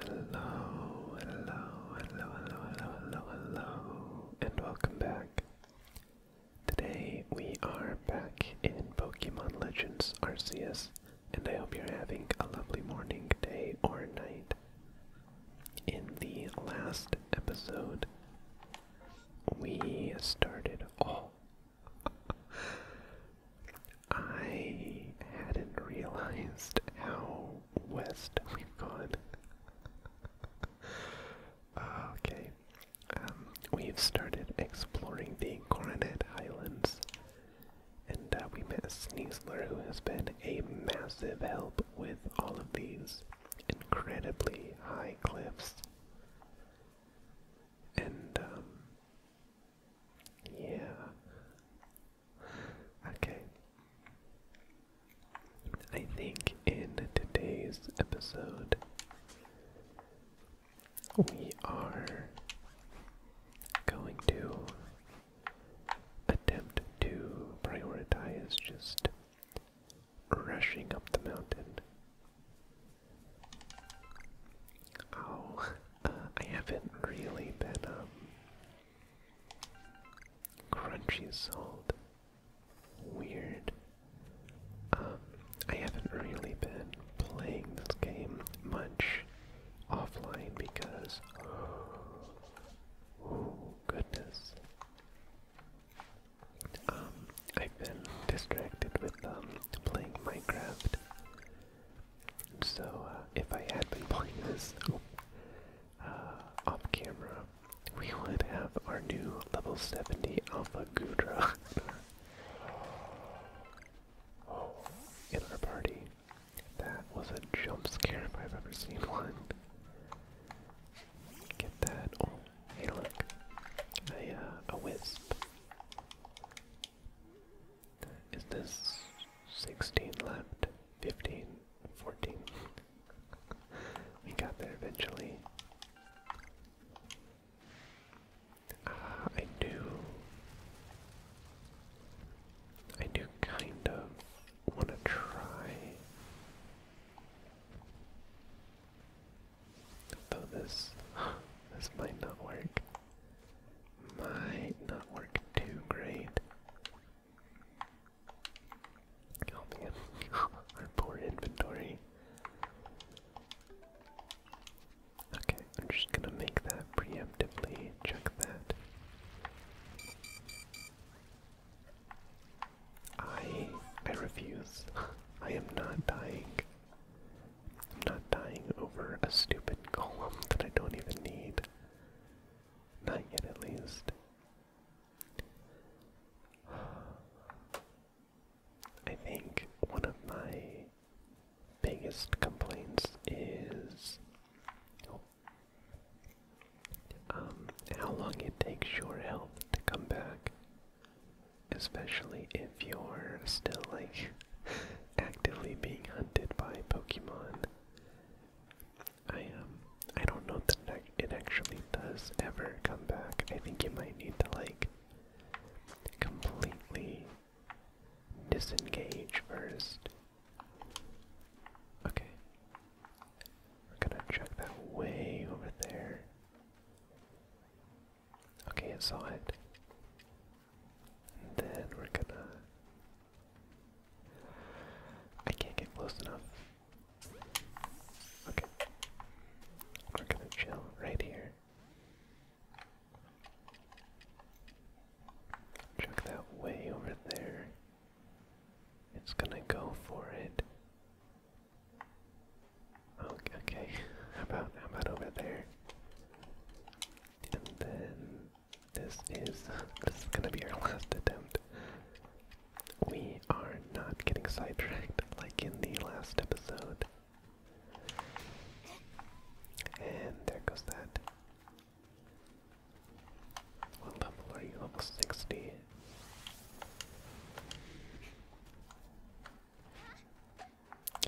Hello, hello, hello, hello, hello, hello, and welcome back. Today we are back in Pokemon Legends Arceus, and I hope you're having a lovely morning, day, or night in the last episode, we started. Oh! I hadn't realized how west we've gone. okay. Um, we've started exploring the Coronet Highlands and uh, we met Sneasler, who has been a massive help with all of these incredibly high cliffs. And, um, yeah. Okay. I think in today's episode, we are going to attempt to prioritize just rushing up the mountain. Oh, I haven't really been um, crunchy salt. Weird. Um, I haven't really been playing this game much offline because goodness. Um, I've been distracted with um, playing Minecraft. So uh, if I had been playing this uh, off camera, we would have our new level 70 Alpha Gudra in our party. That was a jump scare if I've ever seen one. Get that. Oh, hey look. A, uh, a wisp. Is this 16 left? 15? we got there eventually. Uh, I do. I do kind of want to try. Though this, this might not work. Might not work too great. Oh man, our poor inventory. Okay, I'm just gonna make that preemptively. Check that. I I refuse. I am not dying. I'm not dying over a stupid column that I don't even need. Not yet at least. I think one of my biggest complaints is oh, um, how long it takes your health to come back, especially if you're still like actively being hunted by Pokemon. I um, I don't know that it actually does ever come back. I think you might need to like completely disengage first Okay. We're gonna check that way over there. Okay, I saw it. then we're gonna. I can't get close enough. Okay. We're gonna chill right here. Check that way over there. It's gonna go for it. Okay, okay. How about how about over there? And then this is this is gonna be our last attempt. We are not getting sidetracked like in the last episode. And there goes that. What level are you? Level 60.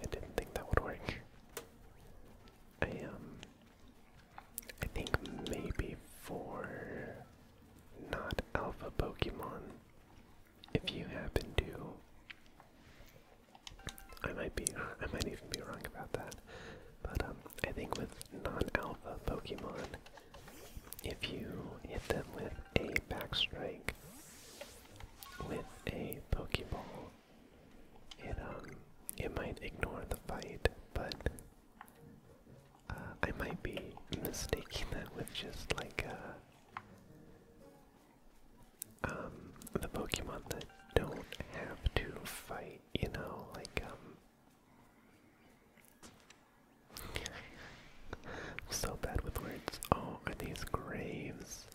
I didn't think that would work. I Um, I think maybe for not alpha Pokemon, if you happen to, I might be, I might even be wrong about that. But um, I think with non-alpha Pokemon, if you hit them with a backstrike with a Pokeball, it um it might ignore the fight, but uh, I might be mistaking that with just like uh, um the Pokemon that don't have to fight, you know, like um so bad with words. Oh, are these graves?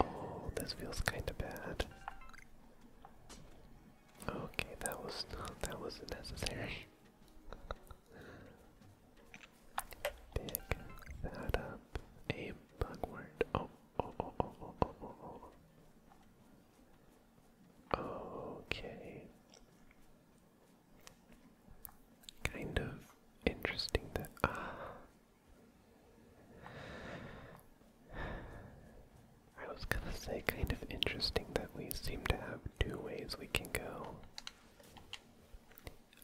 Oh, this feels kinda bad. Okay, that was that wasn't necessary. Pick that up. A bugwort. Oh, oh. oh, oh, oh Okay. Kind of interesting that. Ah. I was gonna say, kind of interesting that we seem to have two ways we can go.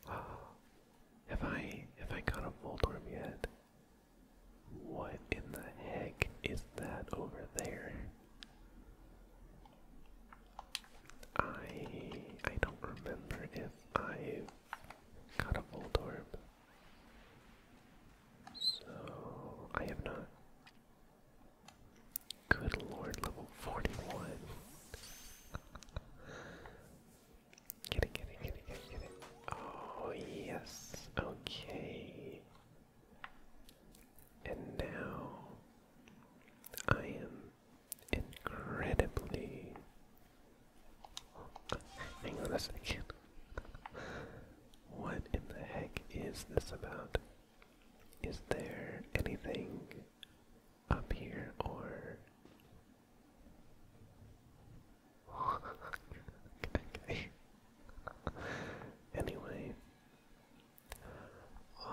Uh, have I have I got a Voldorb yet? What in the heck is that over there? I I don't remember if I've got a full orb, So I have not. Good lord, level 41. get it, get it, get it, get it, get it. Oh yes. Okay. And now I am incredibly. Hang on a second. What in the heck is this about? Is there anything up here or. anyway.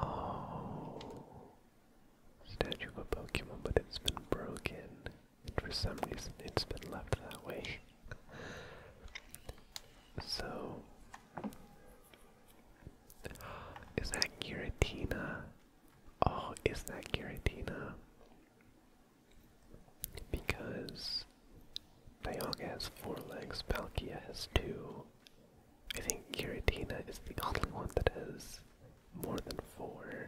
Oh. Statue of a Pokemon, but it's been broken. for some reason, it's been left that way. so. Is that Giratina? Oh, is that Giratina? Because Dialga has four legs, Palkia has two. I think Kiratina is the only one that has more than four.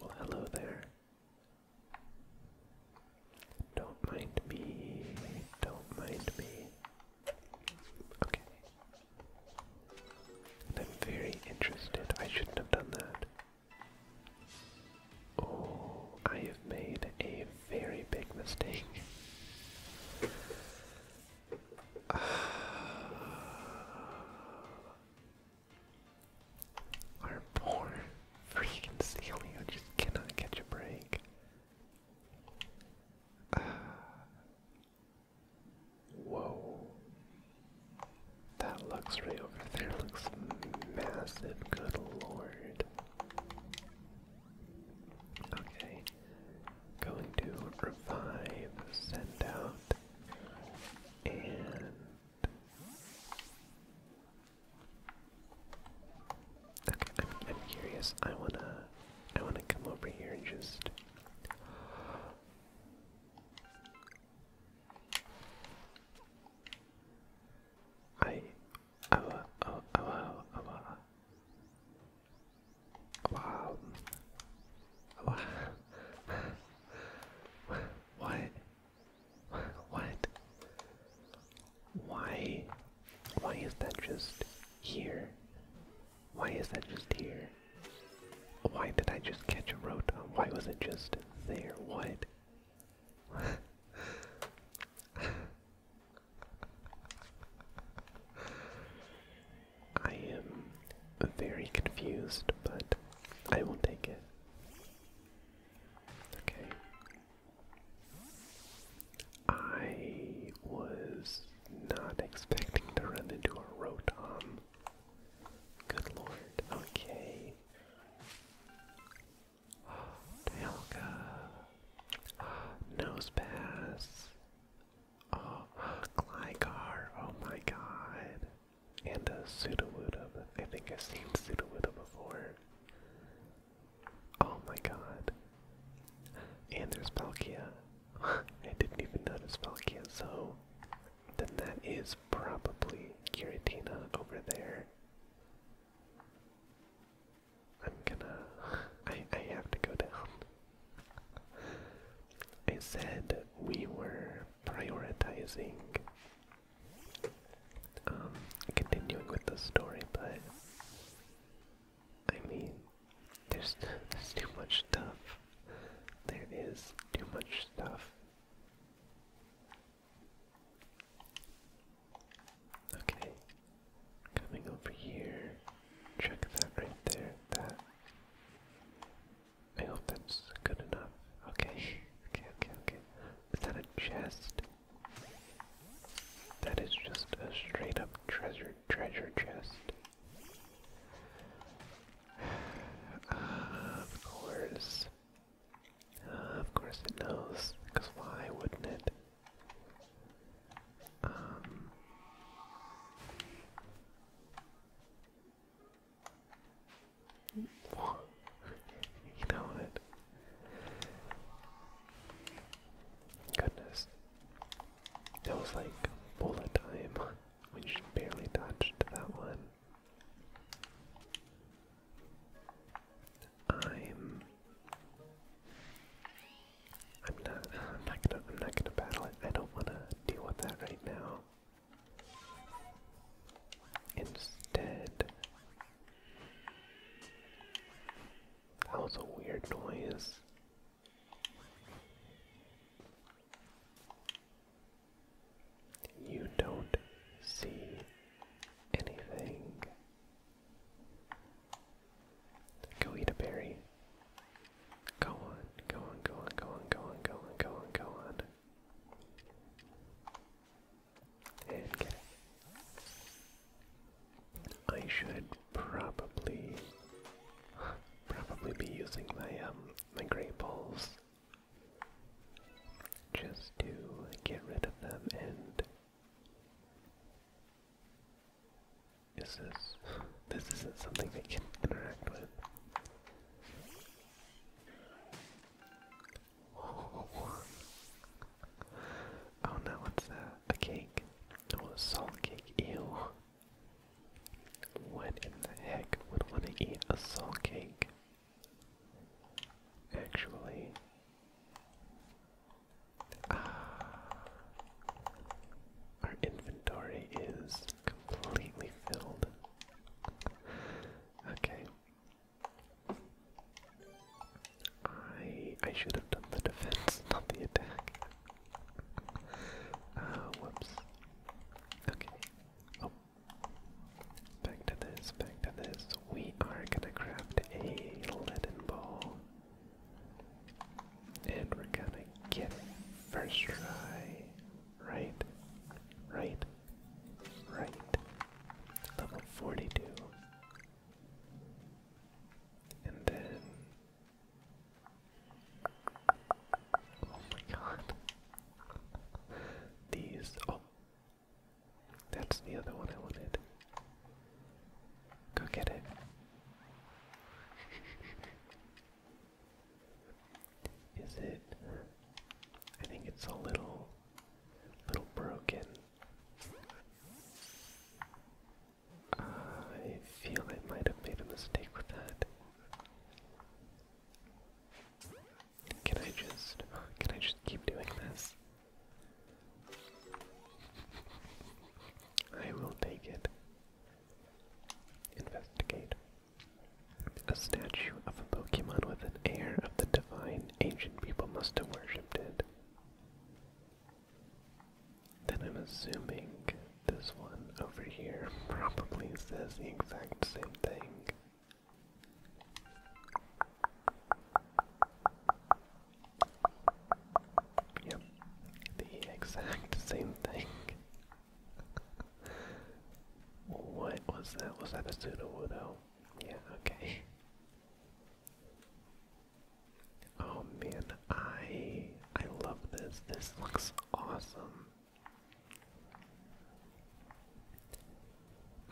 Well, hello there. Don't mind me. Don't mind me. Okay. I'm very interested. I shouldn't have done that. Oh, I have made a very big mistake. our poor freaking Celia just cannot catch a break. whoa. That luxury over there looks massive, good lord. Okay, going to revive, send out, and okay, I'm, I'm curious. I wanna, I wanna come over here and just. I awa awa awa awa Wow. Wow. Why? What? Why? Why is that just here? Why is that just here? Why did I just catch a Rotom? Why was it just there? What? I am very confused, but I will take it. Okay. I was not expecting to run into a Rotom. Um, good lord. Okay. Tailga. Nose Oh, Gligar. Oh my god. And a Sudowoodo. I think I've seen Sudowoodo before. Oh my god. And there's Palkia. I didn't even notice Palkia, so then that is probably Giratina over there. I'm gonna. I, I have to go down. I said we were prioritizing. Um, continuing with the story, but. I mean, there's, there's too much stuff. There is too much stuff Okay, coming over here. Check that right there. That. I hope that's good enough. Okay, okay, okay, Is that a chest? That is just a straight up treasure, treasure chest. Uh, of course. Uh, of course it knows, because why wouldn't it? Um, you know it. Goodness. That was like bullet time. We just barely dodged that one. I'm I'm not I'm not gonna I'm not gonna battle it. I don't wanna deal with that right now. Instead That was a weird noise. You don't see anything. Go eat a berry. Go on, go on, go on, go on, go on, go on, go on, go on. And I should probably probably be using my um my great balls just to get rid of them and is this this isn't something they can interact with. Oh, oh no, what's that? A cake. Oh, a salt cake. Ew. What in the heck would want to eat a salt cake? Actually, uh, our inventory is completely filled. Okay. I I should have done the defense, not the attack. Uh, whoops. Okay. Oh, Back to this, back to this. We are gonna craft a leaden ball. And we're gonna get first try. Right, right, right. Level 42. And then. Oh my god. These. Oh! That's the other one I wanted. Go get it. Is it. I think it's a little. little broken. I feel I might have made a mistake with that. Can I just can I just keep doing this? I will take it. Investigate. A statue of a Pokemon with an air of the divine ancient people must have worshipped it. Then I'm assuming this one over here probably says the exact same thing. Yep, the exact same thing. what was that? Was that a pseudo Oh, Yeah, okay. Oh man, I I love this. This looks awesome.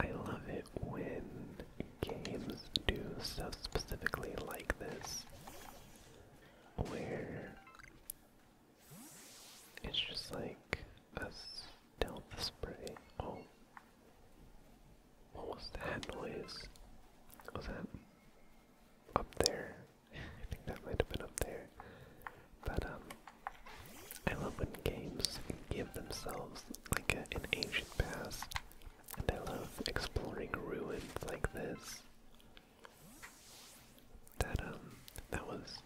I love it when games do stuff specifically like this, where it's just like a the spray. Oh, what was that noise? Was that up there? I think that might have been up there. But, um, I love when games give themselves like an ancient past, and I love exploring ruins like this. That um, that was.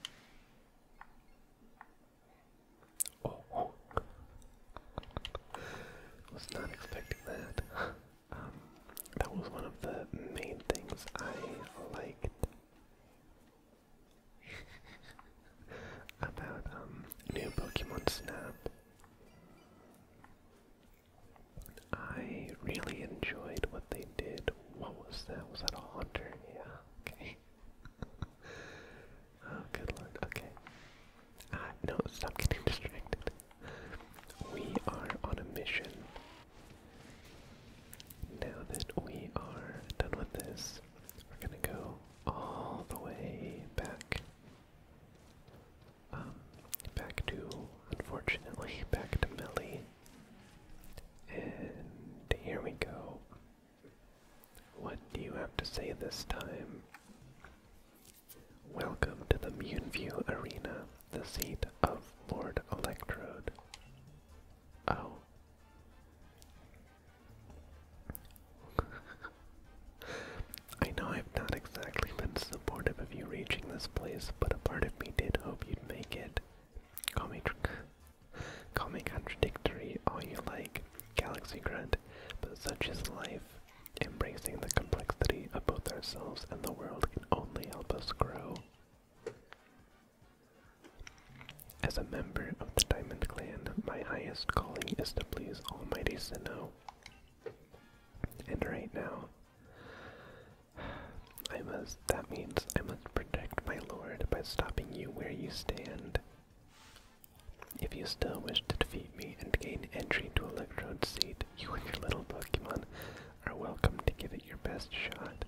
oh. was not expecting that. Um, that was one of the main things I liked about um, new Pokemon Snap. I really enjoyed what they did. What was that? Was that a hunter? Yeah, okay. oh, good lord, okay. Ah, no, stop getting distracted. We are on a mission now that we are done with this, we're gonna go all the way back. Um, back to, unfortunately, back to Melly. And here we go. What do you have to say this time? Welcome to the Muneview Arena, the seat of Lord Electrode. Oh. I know I've not exactly been supportive of you reaching this place, but a part of me did hope you'd make it. Call me, call me contradictory all you like, Galaxy Grunt, but such is life. Embracing the complexity of both ourselves and the world can only help us grow. As a member of the Diamond Clan, my highest calling is to please Almighty Sinnoh. And right now, I must, that means I must protect my lord by stopping you where you stand. If you still wish to defeat me and gain entry to Electrode's seat, you and your little Pokemon are welcome to give it your best shot.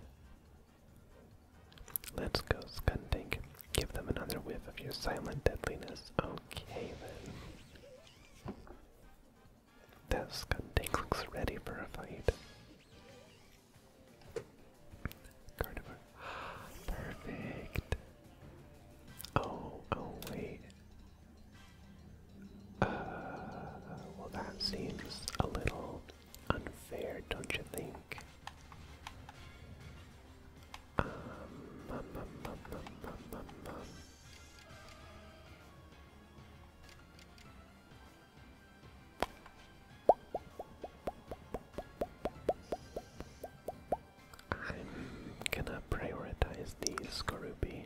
Let's go, Skundink. Give them another whiff of your silent deadliness. Okay, then. That Skundink looks ready for a fight. Gardevoir. Perfect. Oh, oh, wait. Uh, well, that seems a little unfair, don't you think? I'm gonna prioritize the Skorupi.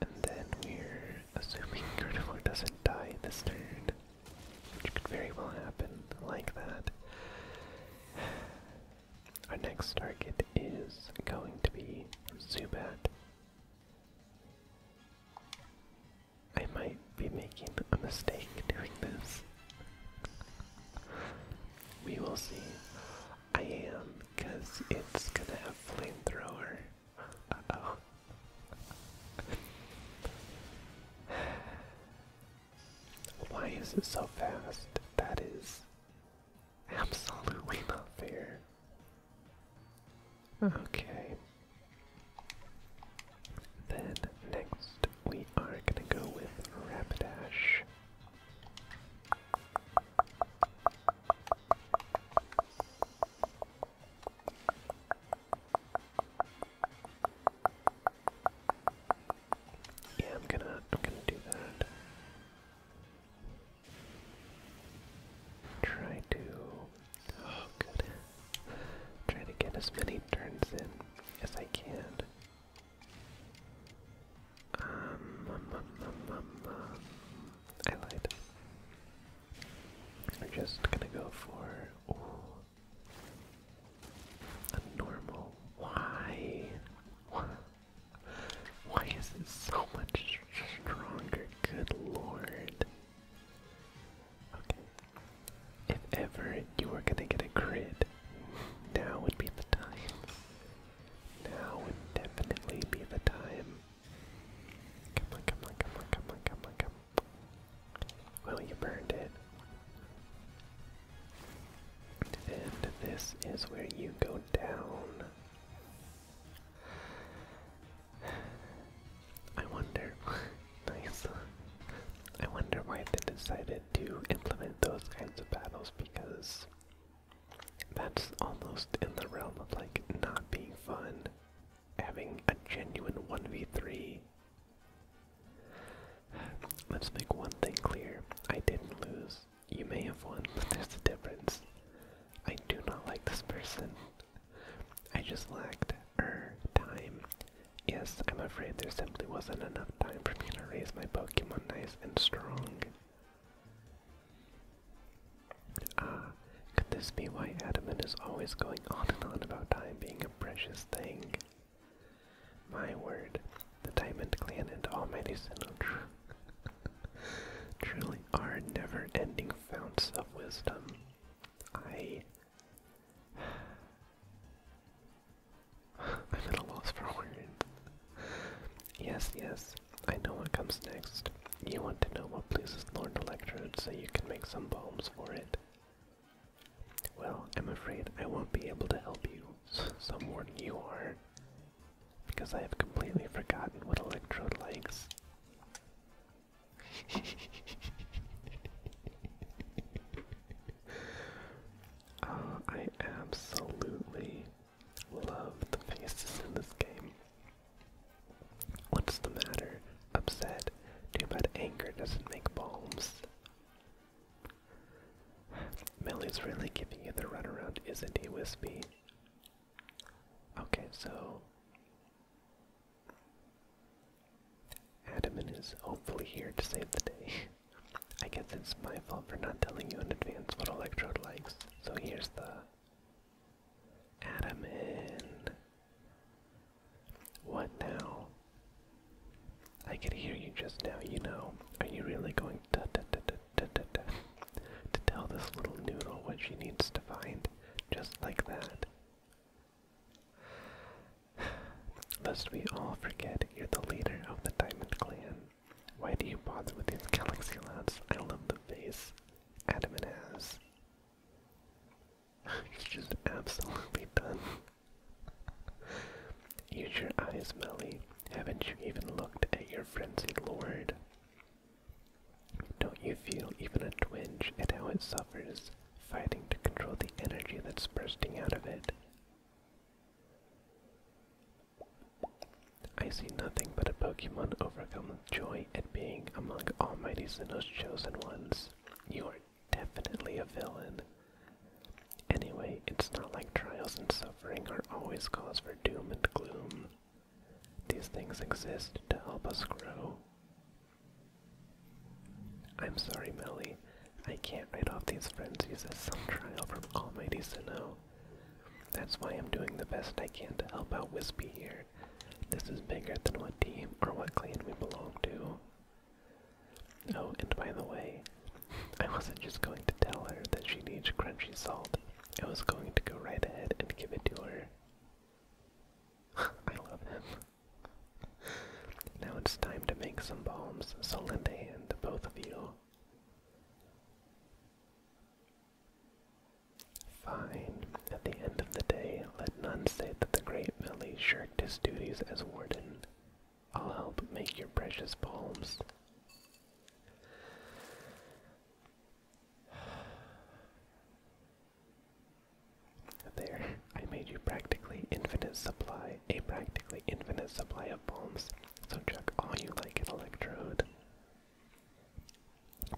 And then we're assuming Gardevoir doesn't die this turn, which could very well happen like that. Our next target is going to be Zubat. I might be making a mistake doing this. we will see. I am, because it's gonna have flamethrower. Why is it so fast? That is absolutely not fair. Okay. Then next we are gonna go with Rapidash. Yeah, I'm gonna I'm gonna do that. Try to oh good. Try to get as many turns in as I can. Um, um, um, um, um we're just gonna go for ooh, a normal. Why? Why is this so much stronger? Good lord. Okay. If ever you were gonna get a crit, now would be the time. Now would definitely be the time. Well, you burned it. And this is where you go down. I wonder, nice. I wonder why they decided to implement those kinds of battles because that's almost in the realm of like not being fun having a genuine 1v3. Let's make one thing clear. I didn't lose. You may have won, but there's a difference. I do not like this person. I just lacked er time. Yes, I'm afraid there simply wasn't enough time for me to raise my Pokemon nice and strong. Ah, could this be why Adamant is always going on and on about time being a precious thing? My word, the Diamond Clan and Almighty Sinnoh truly are never-ending founts of wisdom. I... I'm at a loss for words. Yes, yes, I know what comes next. You want to know what pleases Lord Electro, so you can make some bombs for it. Well, I'm afraid I won't be able to help you, someone warning you are, because I have completely forgotten what Electro likes. uh, I absolutely love the faces in this game. What's the matter? Upset. Too bad anger doesn't make bombs. Millie's really giving you the runaround, isn't he, Wispy? Okay, so Adamin is hopefully here to save the day. I guess it's my fault for not telling you in advance what Electrode likes. So here's the Add him What now? I could hear you just now, you know. Are you really going to, to, to, to, to, to, tell this little noodle what she needs to find? Just like that. Lest we all forget you're the leader of the Diamond Clan. Why do you bother with these galaxy lads? I love the face. Adam and Az. you just absolutely done. Use your eyes, Melly. Haven't you even looked at your frenzied lord? Don't you feel even a twinge at how it suffers, fighting to control the energy that's bursting out of it? I see nothing but a Pokemon overcome joy at being among Almighty's Sinnoh's chosen ones. You are definitely a villain. Anyway, it's not like trials and suffering are always cause for doom and gloom. These things exist to help us grow. I'm sorry, Melly. I can't write off these frenzies as some trial from Almighty Sinnoh. That's why I'm doing the best I can to help out Wispy here. This is bigger than what team or what clan we belong to. Oh, and by the way, I wasn't just going to tell her that she needs crunchy salt. I was going to go right ahead and give it to her. I love him. Now it's time to make some bombs, so lend a hand to both of you. Fine. At the end of the day, let none say that the great Millie shirked his duties as warden. I'll help make your precious poems. There, I made you practically infinite supply, a practically infinite supply of poems, so chuck all you like at Electrode.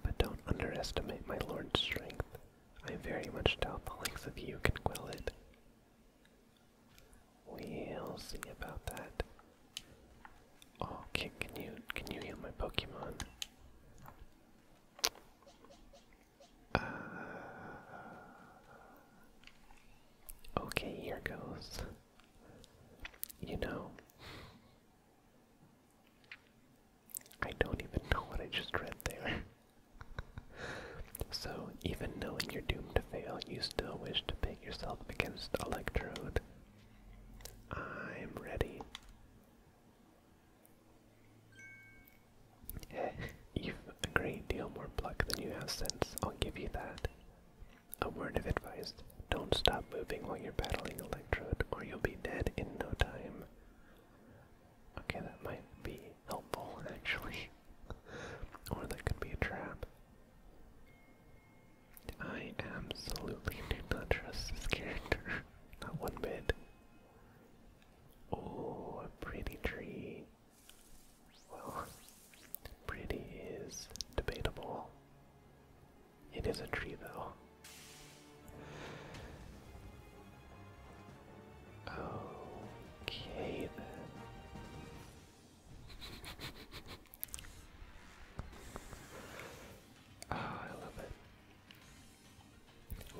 But don't underestimate my lord's strength. I very much doubt the likes of you can quell it. We'll see about that. Oh, can, you can you heal my Pokemon? Uh, okay, here goes. You know, I don't even know what I just read there. so, even knowing you're doomed to fail, you still wish to pit yourself against Electrode. I'm ready. You've a great deal more pluck than you have sense, I'll give you that. A word of advice, don't stop moving while you're battling or you'll be dead in no time. Okay, that might be helpful actually. or that could be a trap. I absolutely do not trust this character. Not one bit. Oh, pretty tree. Well, pretty is debatable. It is a tree, though. Okay, Ah, I love it.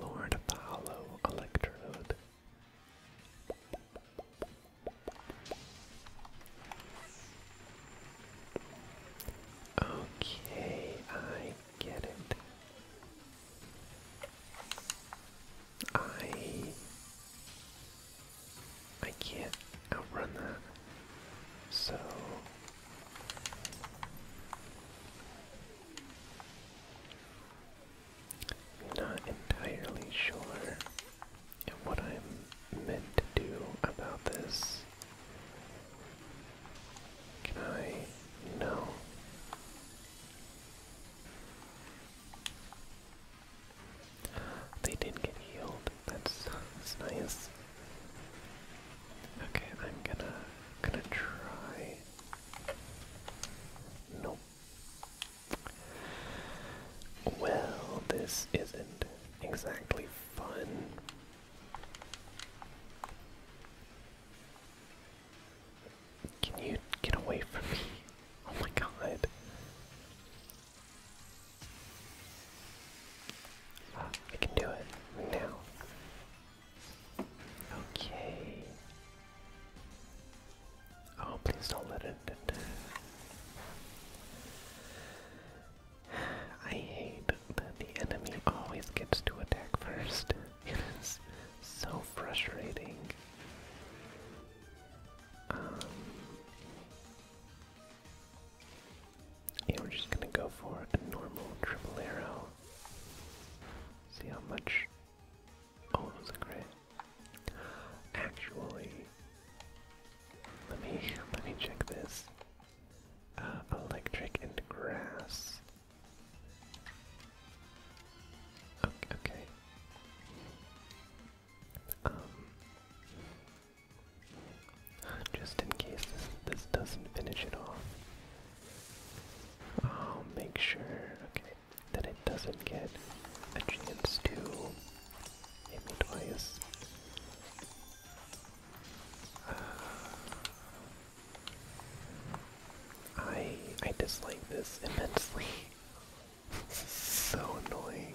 Lord of the Hollow Electrode. Okay, I get it. I I can't outrun that. So I'm not entirely sure what I'm meant to do about this. Can I? know? They did get healed. that's nice. Okay, I'm gonna gonna try. Nope. Well, this isn't exactly fun. Can you get away from me? Oh my god. I can do it now. Okay. Oh, please don't let it. I hate that the enemy always gets to attack first. It is so frustrating. Um, we're just gonna go for a normal triple arrow. See how much. Oh, it crit. Actually, let me let me check this. Uh, electric and grass. Okay. Um, just in case this, doesn't finish it off, I'll make sure, that it doesn't get a chance to hit me twice. Uh, I I dislike this immensely. this is so annoying.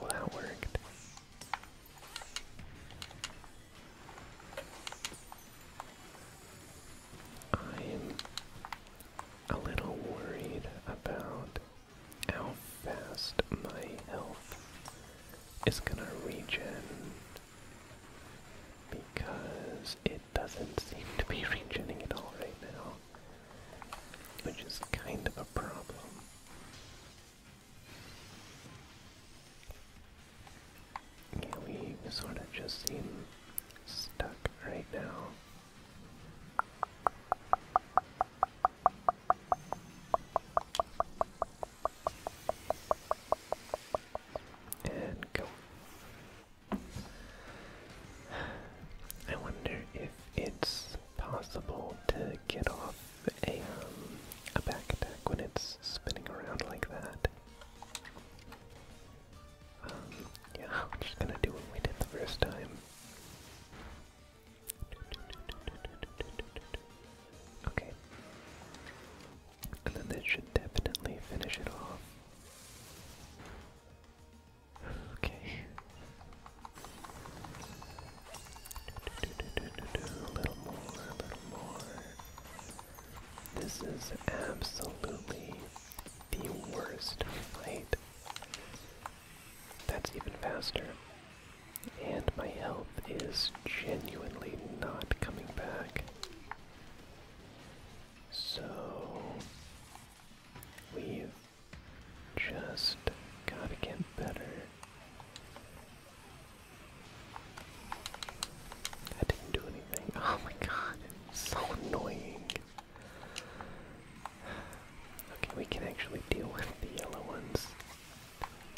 Well, that worked. I'm a little worried about how fast my health it's gonna regen because it doesn't seem to be regenerating at all right now, which is kind of a problem. Yeah, we sort of just seem stuck right now. And go. I wonder if it's possible to get off a, um, a back attack when it's spinning around like that. Um, yeah, I'm just gonna do what we did the first time. Okay. And then that should definitely finish it off. Okay. A little more, a little more. This is absolutely the worst fight. That's even faster. And my health is genuinely not coming back. So we've just gotta get better. I didn't do anything. Oh my god, it's so annoying. Okay, we can actually deal with the yellow ones.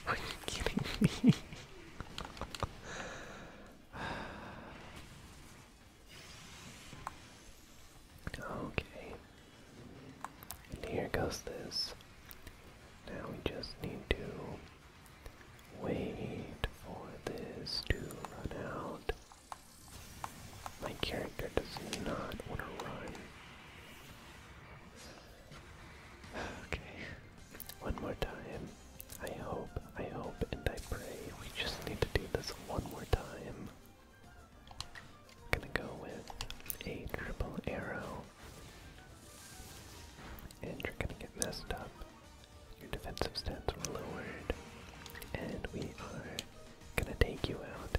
Are you kidding me? okay. here goes this. Now we just need to wait for this to run out. My character does not want to run. Okay, one more time. I hope, I hope, and I pray we just need to do this one more time. gonna go with a triple arrow. And you're gonna get messed up. Your defensive stats were lowered. And we are gonna take you out.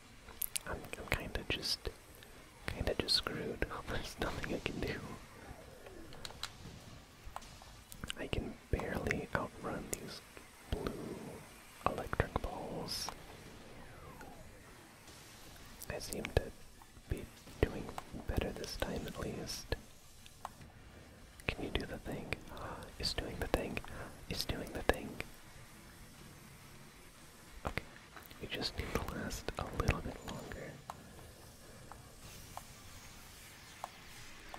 I'm, kind of just, kind of just screwed. There's nothing I can do. I can barely outrun these blue electric balls. I seem to be doing better this time at least. Can you do the thing? It's doing the thing. It's doing the thing. Okay, we just need to last a little bit longer.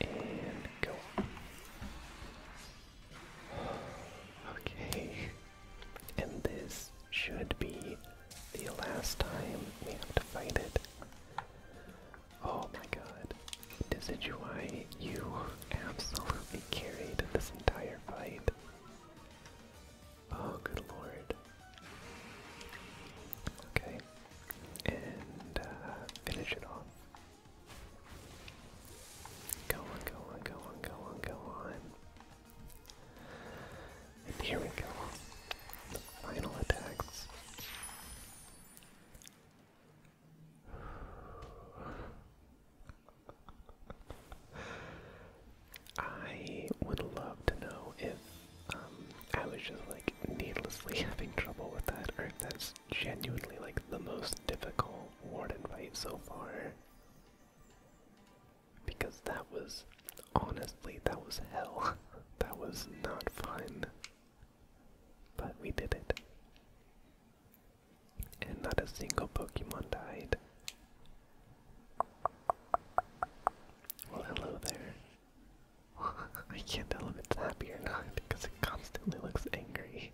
And go. Okay, and this should be the last time we have to fight it. Oh my god, Decidueye, you absolutely carried this entire Oh, good lord. Okay. And uh, finish it off. Go on, go on, go on, go on, go on. And here we go. The final attacks. I would love to know if um, I was just like needlessly having trouble with that, or if that's genuinely like the most difficult warden fight so far. Because that was, honestly, that was hell. that was not fun. But we did it. And not a single Pokemon died. Well, hello there. I can't tell if it's happy or not because it constantly looks angry.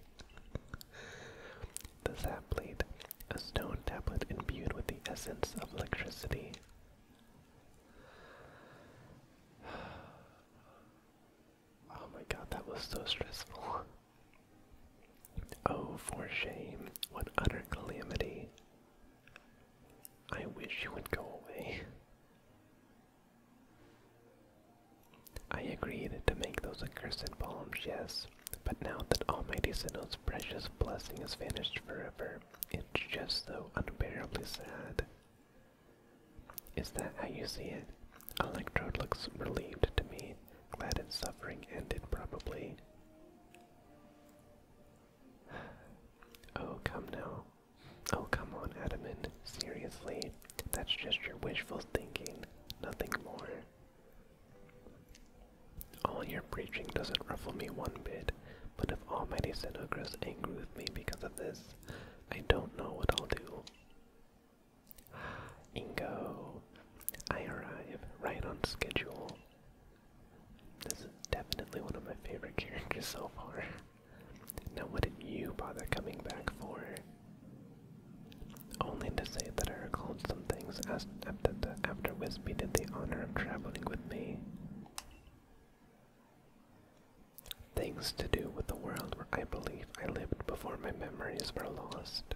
the Zapplate, a stone tablet imbued with the essence of electricity. Oh my god, that was so stressful. Oh, for shame, what utter calamity. I wish you would go away. I agreed to make those accursed bombs, yes, but now that Almighty Sinnoh's precious blessing has vanished forever, it's just so unbearably sad. Is that how you see it? Electro? looks relieved to me, Glad his suffering ended, probably. Oh, come now. Oh, come on, Adamant. Seriously, that's just your wishful thinking, nothing more. All your preaching doesn't ruffle me one bit, but if Almighty Sinogris angry with me because of this, I don't know what I'll do. Ingo, I arrive right on schedule. This is definitely one of my favorite characters so far. Now, what did you bother coming back for? Only to say that I recalled some things as after, after Wispy did the honor of traveling with me. Things to do with the world where I believe I lived before my memories were lost.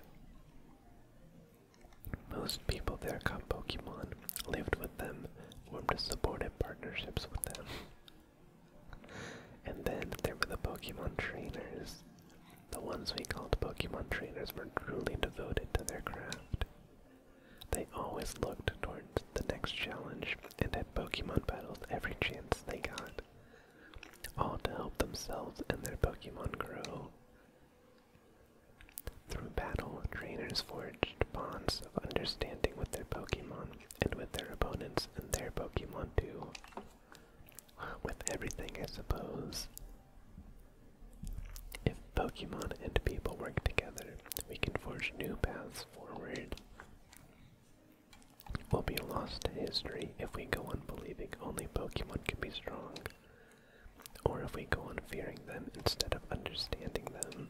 Most people there caught Pokemon, lived with them, formed supportive partnerships with them. And then there were the Pokemon trainers. The ones we called Pokemon trainers were truly devoted to their craft. They always looked towards the next challenge and at Pokemon battles every chance they got all to help themselves and their Pokemon grow. Through battle, trainers forged bonds of understanding with their Pokemon and with their opponents and their Pokemon too. With everything, I suppose. If Pokemon and people work together, we can forge new paths forward. We'll be lost to history if we we go on believing only Pokemon can be strong, or if we go on fearing them instead of understanding them.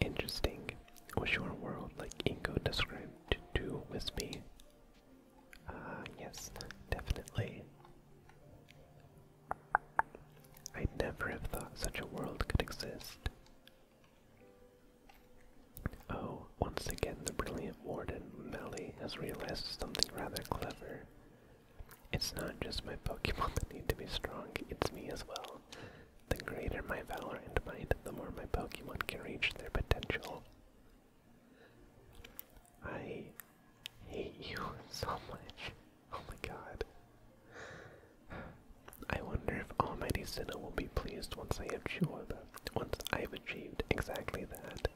Interesting. Was your world like Inko described to Wispy? Ah, uh, yes, definitely. I'd never have thought such a world could exist. Oh, once again the brilliant warden Melly has realized something rather clever. It's not just my Pokemon that need to be strong, it's me as well. The greater my valor and might, the more my Pokemon can reach their potential. I hate you so much. Oh my god. I wonder if Almighty Sinnoh will be pleased once I have Chewab once I've achieved exactly that.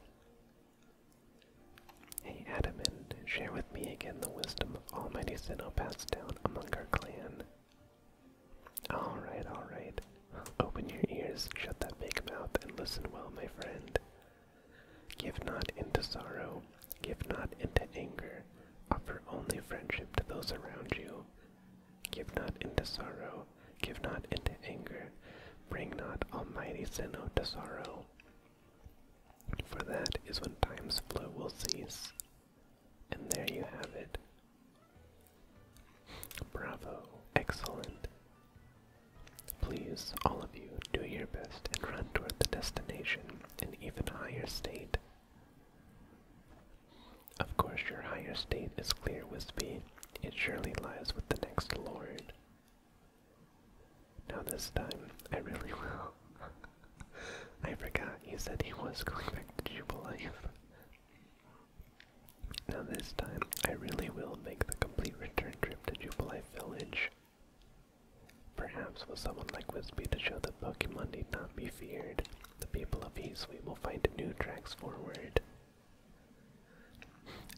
Hey Adamin, share with me again the wisdom of Almighty Sinnoh passed down among our clan. Alright, alright. Open your ears, shut that big mouth, and listen well, my friend. Give not into sorrow, give not into anger, offer only friendship to those around you, Give not into sorrow, give not into anger, bring not almighty sin to sorrow. For that is when time's flow will cease. And there you have it. Bravo, excellent. Please, all of you, do your best and run toward the destination, in even higher state. Of course, your higher state is clear, Wispy. It surely lies with the next lord. Now, this time, I really will. I forgot you said he was going back to Jubilife. Now, this time, I really will make the complete return trip to Jubilife Village. Perhaps with someone like Wispy to show the Pokemon need not be feared, the people of Eastley will find new tracks forward.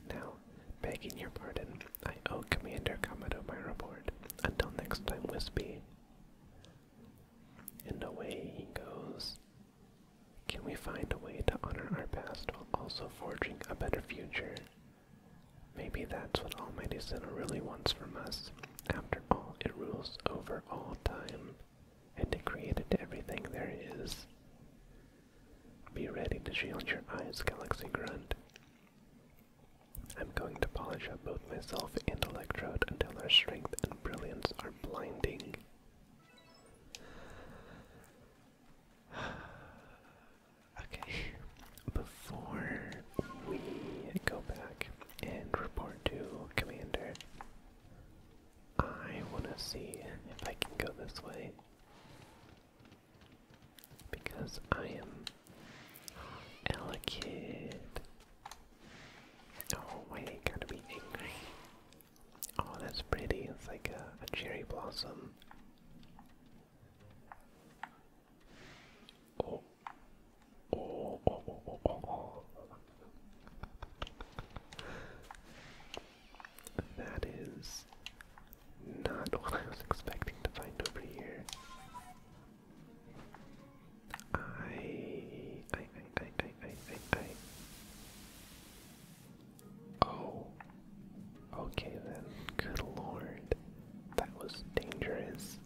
Now, begging your pardon, I owe Commander Kamado my report. Until next time, Wispy. And away he goes. Can we find a way to honor our past while also forging a better future? Maybe that's what Almighty Sinner really wants from us. After all, it rules over all time and it created everything there is. Be ready to shield your eyes, Galaxy Grunt. I'm going to polish up both myself and Electrode until our strength and brilliance are blinding. okay, before we go back and report to Commander, I want to see if I can go this way. Because I am Elekid. Oh, wait, gotta be angry. Oh, that's pretty. It's like a, cherry blossom. Oh. Oh, oh, that is not what I was expecting to find over here. I, I, I, I, I, I, I. Oh. Okay then. Good lord. That was dangerous.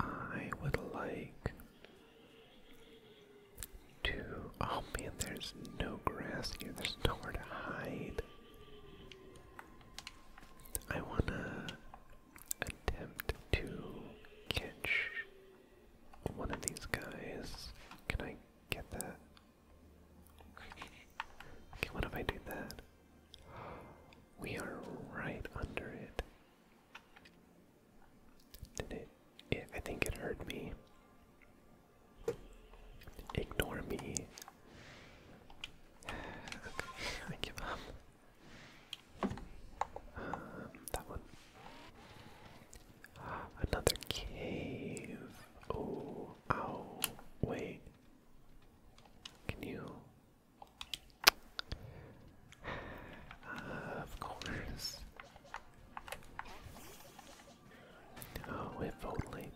I would like Oh man, there's no grass here. There's nowhere to hide. I wanna attempt to catch one of these guys. Can I get that? Okay, what if I do that? We are right under it. Did it, I think it hurt me. Ignore me. okay, I give um, that one. Ah, another cave. Oh, ow. Wait. Can you? of course. Oh, if only.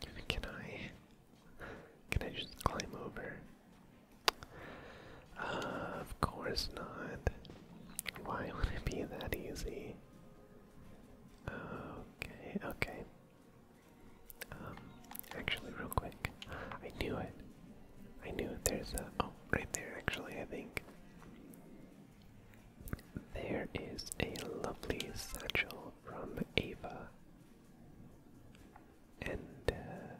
Can I? Can I just climb over? Uh, of course not. Why would it be that easy? Okay, okay. Um, actually, real quick, I knew it. I knew There's a oh, right there. Actually, I think there is a lovely satchel from Ava, and uh,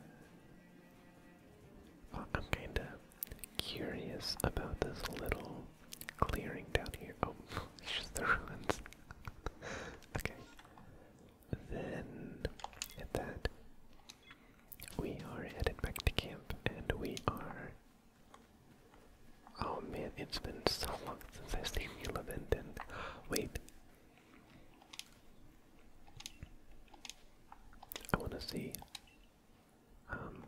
I'm kind of curious about this little clearing down here. Oh, it's just the ruins. okay then hit that. We are headed back to camp, and we are. Oh man, it's been so long since I've seen Eleven. And wait, I want to see. Um.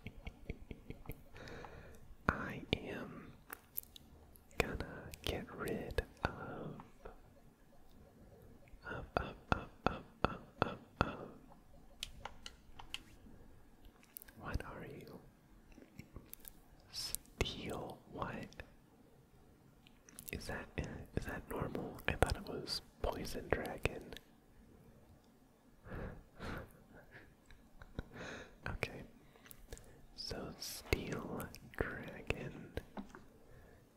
I am gonna get rid of of of of of of of, What are you? Steel what? Is that is that normal? I thought it was poison dragon. okay. So Steel Dragon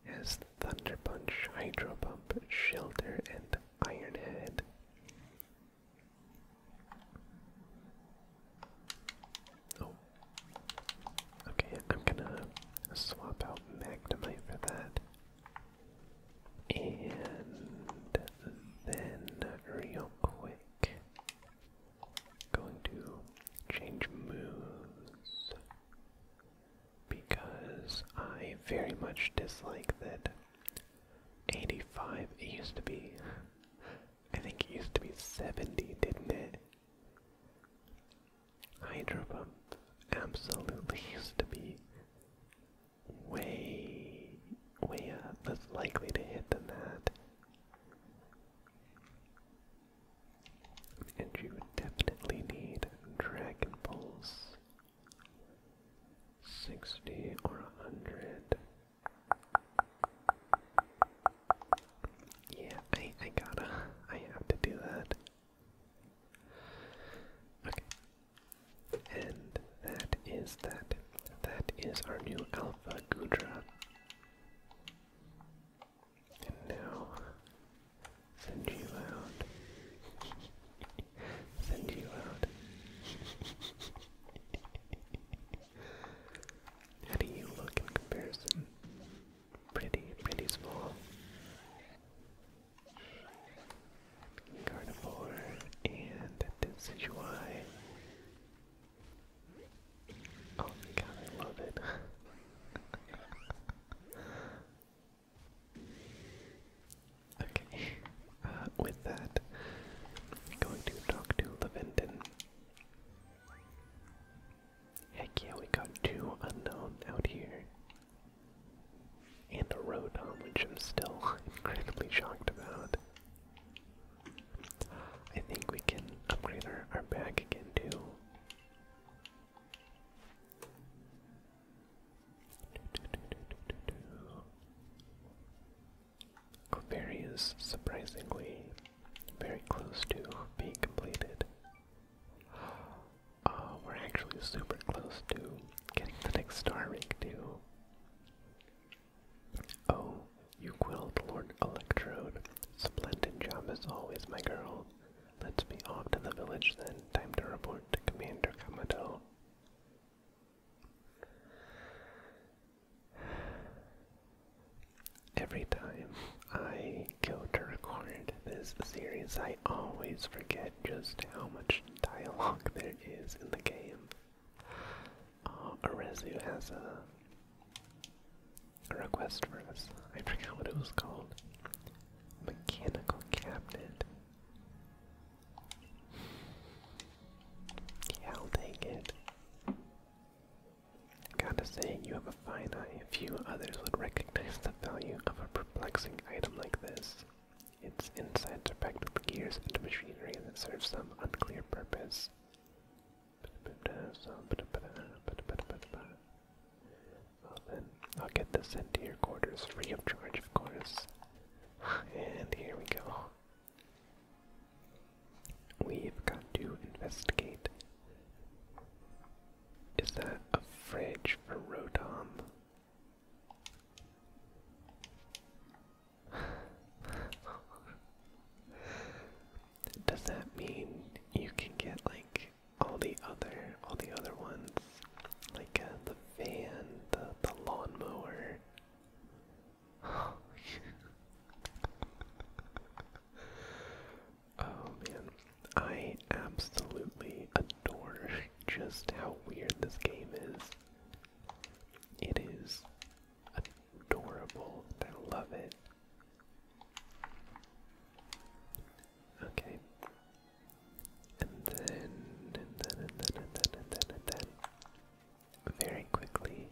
has Thunder Punch, Hydro Pump, Shelter, and Iron Head. Oh. Okay, I'm gonna swap out Magnemite for that. And then, real quick, going to change moves because I very much dislike that 85, it used to be, I think it used to be 70, didn't it? Hydro pump absolutely used to be way, way up, less likely to hit than that. And you would definitely need Dragon Balls. 60 or 100. Yeah, I, I gotta. I have to do that. Okay. And that is that. That is our new Alpha Gudra. And now, send you out. send you out. How do you look in comparison? Pretty, pretty small. Gardevoir and Decidueye Oh my god, I love it. okay, uh, with that, I'm going to talk to Leventon. Heck yeah, we got two unknown out here. And a Rotom, which I'm still incredibly shocked about. I think we can upgrade our, our back again too. Clefairy is surprisingly very close to being completed. Uh, we're actually super close to getting the next star ring too. Oh, you quilled Lord Electrode. Splendid job as always, my girl. Let's be off to the village then. Time to report to Commander Kamado. Every time I go to record this series, I always forget just how much dialogue there is in the game. Oh, Orezu has a, a request for us. I forgot what it was called. Mechanical cabinet. I'll take it. Gotta say, you have a fine eye. Few others would recognize the value of a perplexing item like this. Its insides are packed with gears and machinery that serves some unclear purpose. Well then, I'll get this into your quarters free of charge, of course. and here we go. We've got to investigate. Is that a fridge for Rotom? does that mean you can get like all the other all the other ones like uh, the van the the lawnmower oh man i absolutely adore just how weird this game is it is adorable i love it Okay. And then, and then, and then, and then, and then, and then. Very quickly,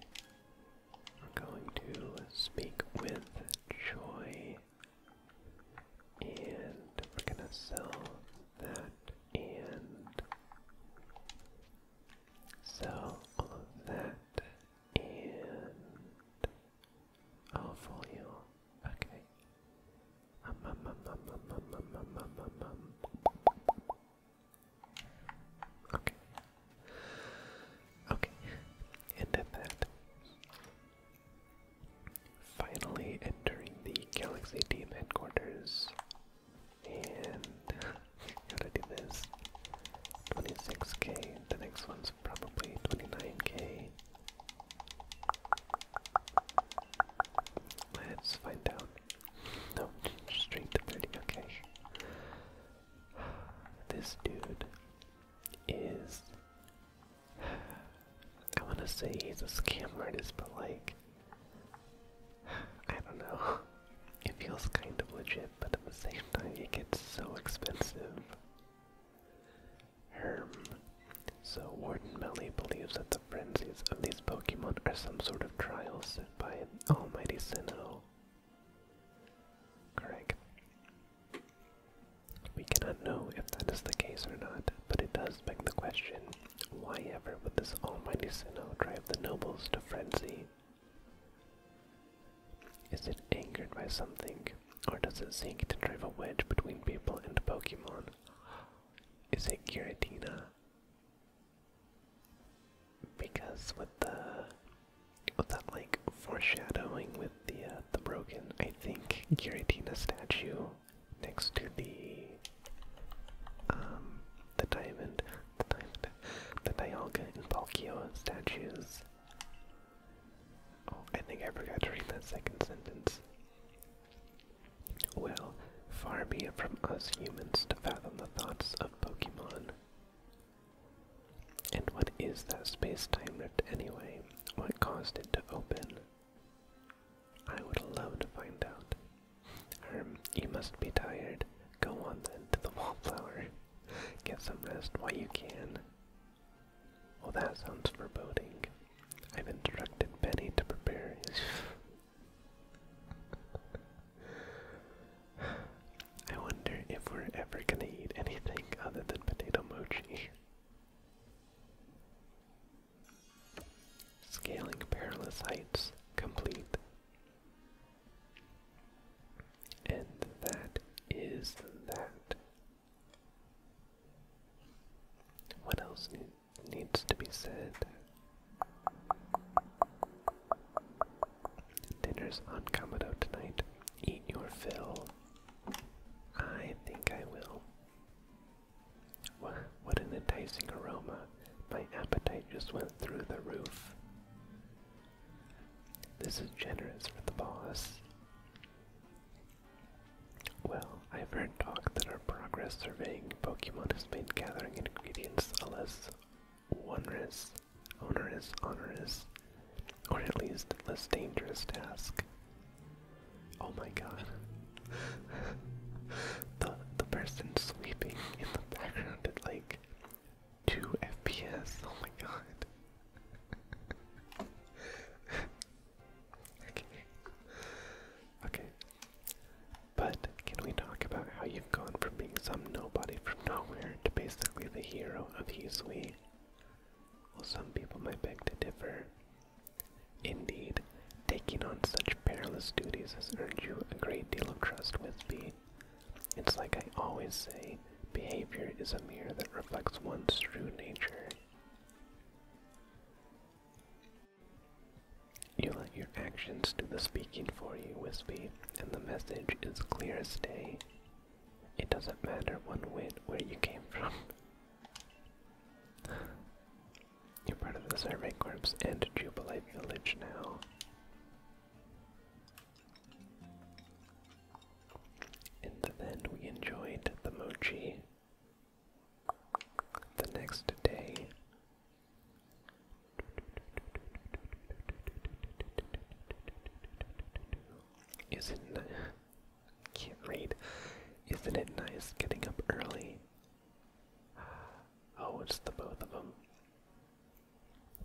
we're going to speak with Joy. And we're gonna sell that and sell all of that and I'll follow you. Okay. Okay. Okay. And that, finally entering the Galaxy Team headquarters, and gotta do this. 26k, the next one's probably 29k. Let's find out. No, straight to 30, okay. This dude is. I wanna say he's a scam artist, but like. I don't know. It feels kind of legit, but at the same time it gets so expensive. So Warden Melly believes that the frenzies of these Pokemon are some sort of trial set by an almighty Sinnoh. Correct. We cannot know if that is the case or not, but it does beg the question, why ever would this almighty Sinnoh drive the nobles to frenzy? Is it angered by something, or does it seek to drive a wedge between people and Pokemon? Is it Giratina? Because with the with that like foreshadowing with the uh, the broken, I think Giratina statue next to the um the diamond, the diamond the Dialga and Palkia statues. Oh, I think I forgot to read that second sentence. Well, far be it from us humans to fathom the thoughts of Pokemon. And what is that space-time rift anyway? What caused it to open? I would love to find out. Herm, you must be tired. Go on then to the wallflower. Get some rest while you can. Well, that sounds foreboding. I've instructed Benny to prepare I wonder if we're ever gonna eat anything other than potato mochi. Scaling perilous heights complete. And that is that. What else needs to be said? Dinner's on Kamado tonight. Eat your fill. I think I will. What, what an enticing aroma. My appetite just went through the roof. This is generous for the boss. Well, I've heard talk that our progress surveying Pokemon has made gathering ingredients a less onerous, onerous, onerous, or at least less dangerous task. Oh my god. the the person sleeping in the background at like Two FPS. Oh my god. okay. Okay. But can we talk about how you've gone from being some nobody from nowhere to basically the hero of Yuzui? Well, some people might beg to differ. Indeed, taking on such perilous duties has earned you a great deal of trust with me. It's like I always say, behavior is a mirror that reflects one's true nature. You let your actions do the speaking for you, Wispy, and the message is clear as day. It doesn't matter one whit where you came from. You're part of the Survey Corps and Jubilee Village now. In the end, we enjoyed the mochi. The next day, isn't it, can't read. Isn't it nice getting up early? Oh, it's the both of them.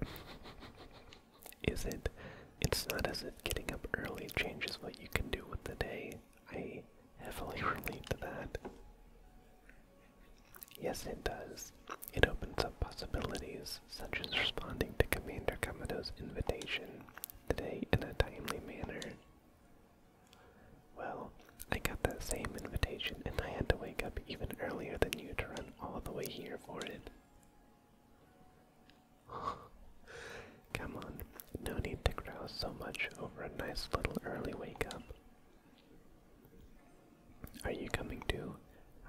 is it it's not as if getting up early changes what you can do with the day. I heavily relate to that. Yes, it does. It opens up possibilities, such as responding to Commander Kamado's invitation today in a timely manner. Well, I got that same invitation and I had to wake up even earlier than you to run all the way here for it. Come on, no need to grouse so much over a nice little early wake up. Are you coming too?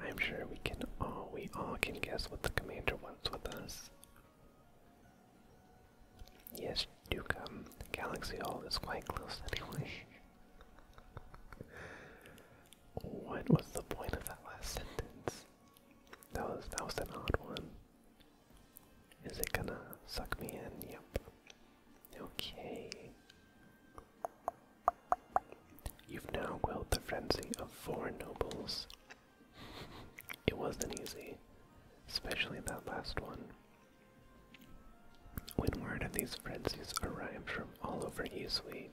I'm sure we can all we all can guess what the commander wants with us. Yes, do come. Galaxy Hall is quite close anyway. What was the point of that last sentence? That was that was an odd one. Is it gonna suck me in? Yep. Okay. You've now quelled the frenzy of four nobles. it wasn't easy, especially that last one. When word of these frenzies arrived from all over Yusui,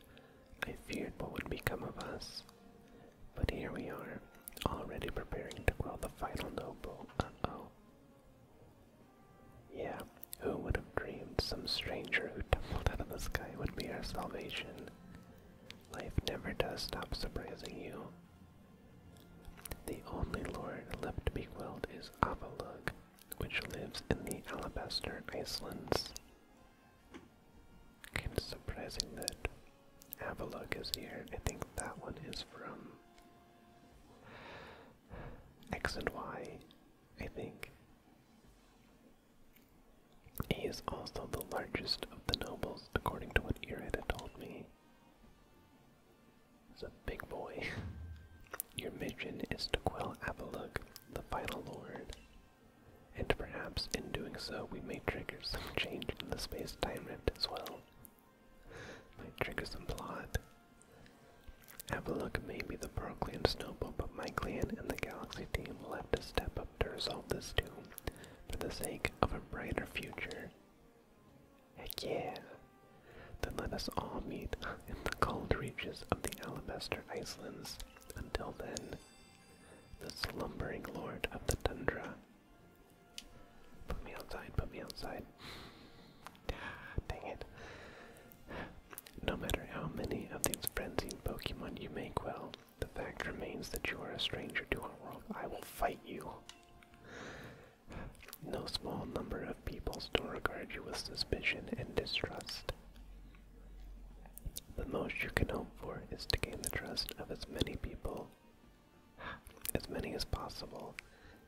I feared what would become of us. But here we are, already preparing to quell the final noble. Uh oh. Yeah, who would have dreamed some stranger who tumbled out of the sky would be our salvation? Life never does stop surprising you. The only lord left to be quelled is Avalug, which lives in the Alabaster Icelands. I'm surprising that Avalok is here. I think that one is from X and Y, I think. He is also the largest of the nobles, according to what Irida told me. He's a big boy. Your mission is to quell Avalok, the final lord, and perhaps in doing so we may trigger some change in the space-time rift as well. Might trigger some plot. Have a look, maybe the Brooklyn Snowball, but my clan and the Galaxy team will have to step up to resolve this too, for the sake of a brighter future. Heck yeah! Then let us all meet in the cold reaches of the Alabaster Icelands until then, the slumbering lord of the tundra. Put me outside, put me outside. Dang it. No matter how many of these frenzied Pokemon you make well, the fact remains that you are a stranger to our world. I will fight you. No small number of people still regard you with suspicion and distrust. The most you can hope for is to gain the trust of as many people, as many as possible,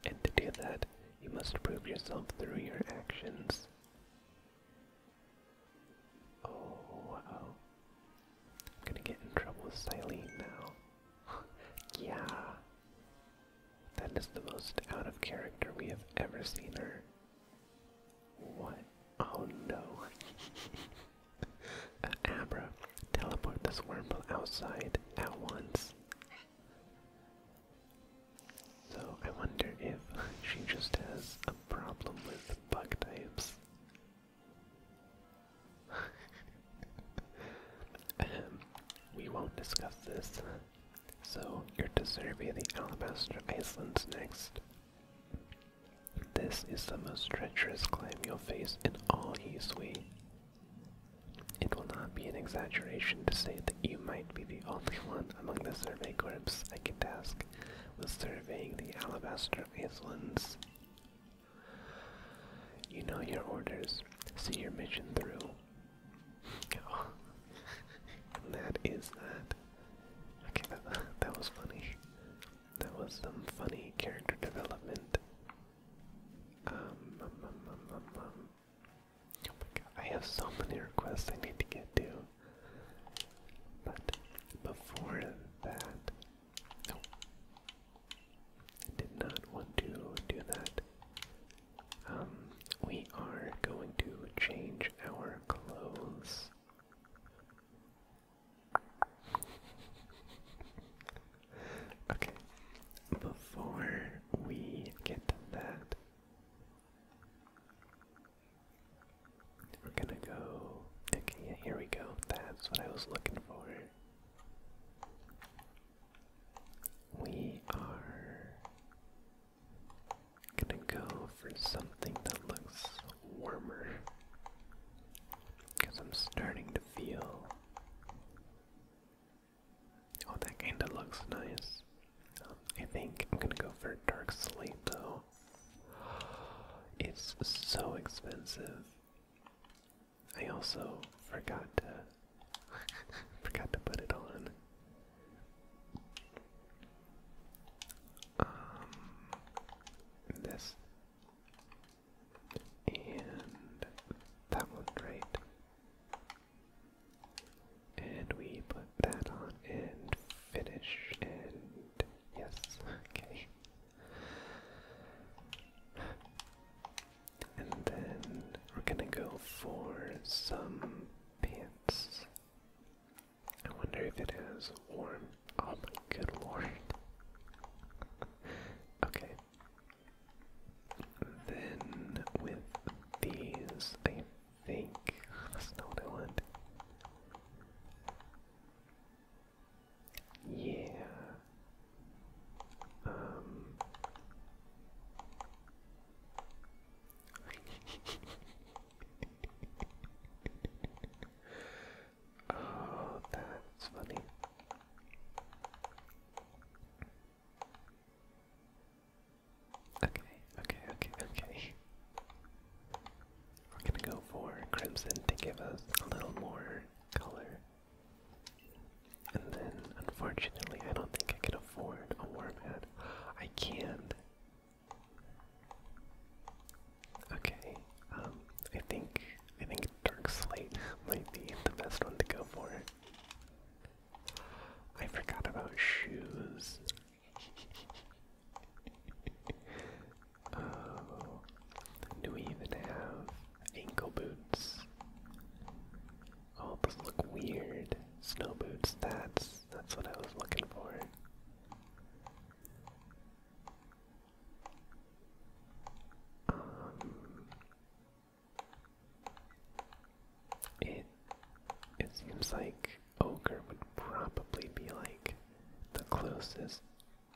and to do that, you must prove yourself through your actions. Oh, wow. I'm gonna get in trouble with Silene now. yeah. That is the most out of character we have ever seen her. What? Oh no. uh, teleport this wormhole outside at once. So I wonder if she just has a problem with bug types. we won't discuss this. So you're to survey the alabaster icelands next. This is the most treacherous climb you'll face in all Yisui. It will not be an exaggeration to say that you might be the only one among the survey corps I can task with surveying the alabaster icelands. You know your orders. See your mission through. Oh. that is that. Okay, that, that was funny. That was some funny character development. Um, um, um, um, Oh my god, I have so many requests I need to get to. But before that, did not want to do that. Um, we are going to change our Close. okay, before we get that, we're gonna go. Okay, here we go. That's what I was looking for. We are I'm gonna go for something that looks warmer because I'm starting to feel. Oh, that kinda looks nice. I think I'm gonna go for dark slate though. It's so expensive. I also forgot to forgot to put it on um, this and that one right. And we put that on and finish and yes, okay. And then we're gonna go for some pants. I wonder if it is warm. Oh my good lord. okay. Then with these, I think that's not what I want. Yeah. Um. oh, that's funny. Okay, okay, okay, okay. We're gonna go for crimson to give us a little more color. And then, unfortunately, I don't think I can afford a warm hat. I can, Okay, um, I think I think Dark Slate might be the best one to go for. I forgot about shoes. oh, do we even have ankle boots? Oh, those look weird. Snow boots, that's that's what I was looking for. Um it it seems like ochre would probably be like the closest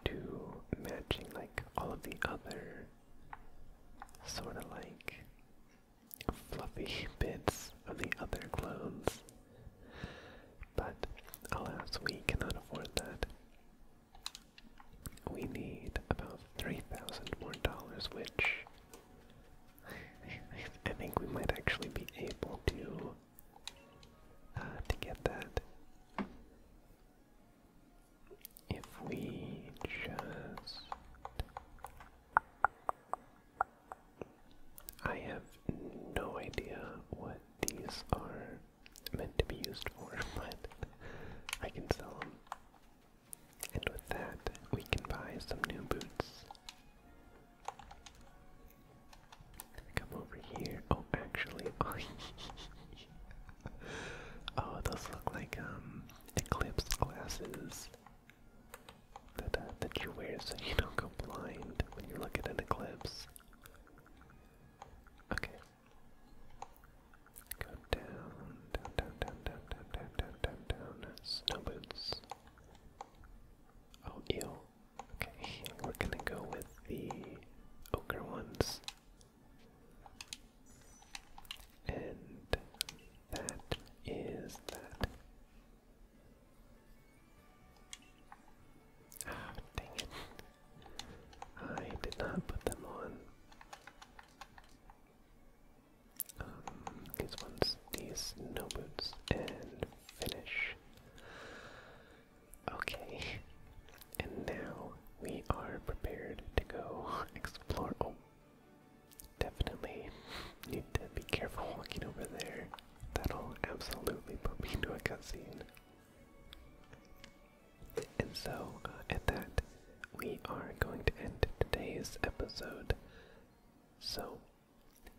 to matching like all of the other sort of like fluffy bits of the other clones. But alas, we cannot afford that. We need about 3,000 more dollars, which I think we might actually be able to uh, to get that if we just I have no idea what these are meant to be used for, but I can sell them. And with that, we can buy some new boots. Come over here. Oh, actually, oh, those look like um eclipse glasses that, uh, that you wear so you don't go blind when you look at an eclipse. Okay. Go down, down, down, down, down, down, down, down, down, down. Snow Oh, ew. Okay, we're gonna go with the ochre ones. And that is that. Ah, dang it. I did not put them on. Um, these ones, these snow boots, and finish. Okay, and now we are prepared to go explore. Oh. Definitely need to be careful walking over there. That'll absolutely put me into a cutscene. And so, uh, at that, we are going to end today's episode. So,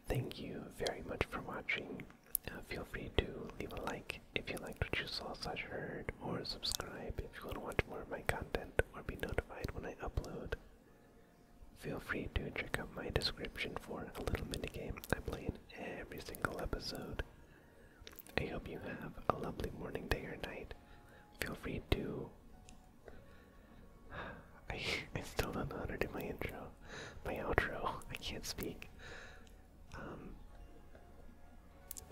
thank you very much for watching. Uh, feel free to leave a like if you liked what you saw slash heard, or subscribe if you want to watch more of my content or be notified when I upload. Feel free to check out my description for a little mini game I play in every single episode. I hope you have a lovely morning, day, or night. Feel free to. I, I still don't know how to do my intro, my outro. I can't speak. Um,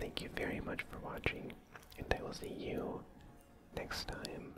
thank you very much for watching, and I will see you next time.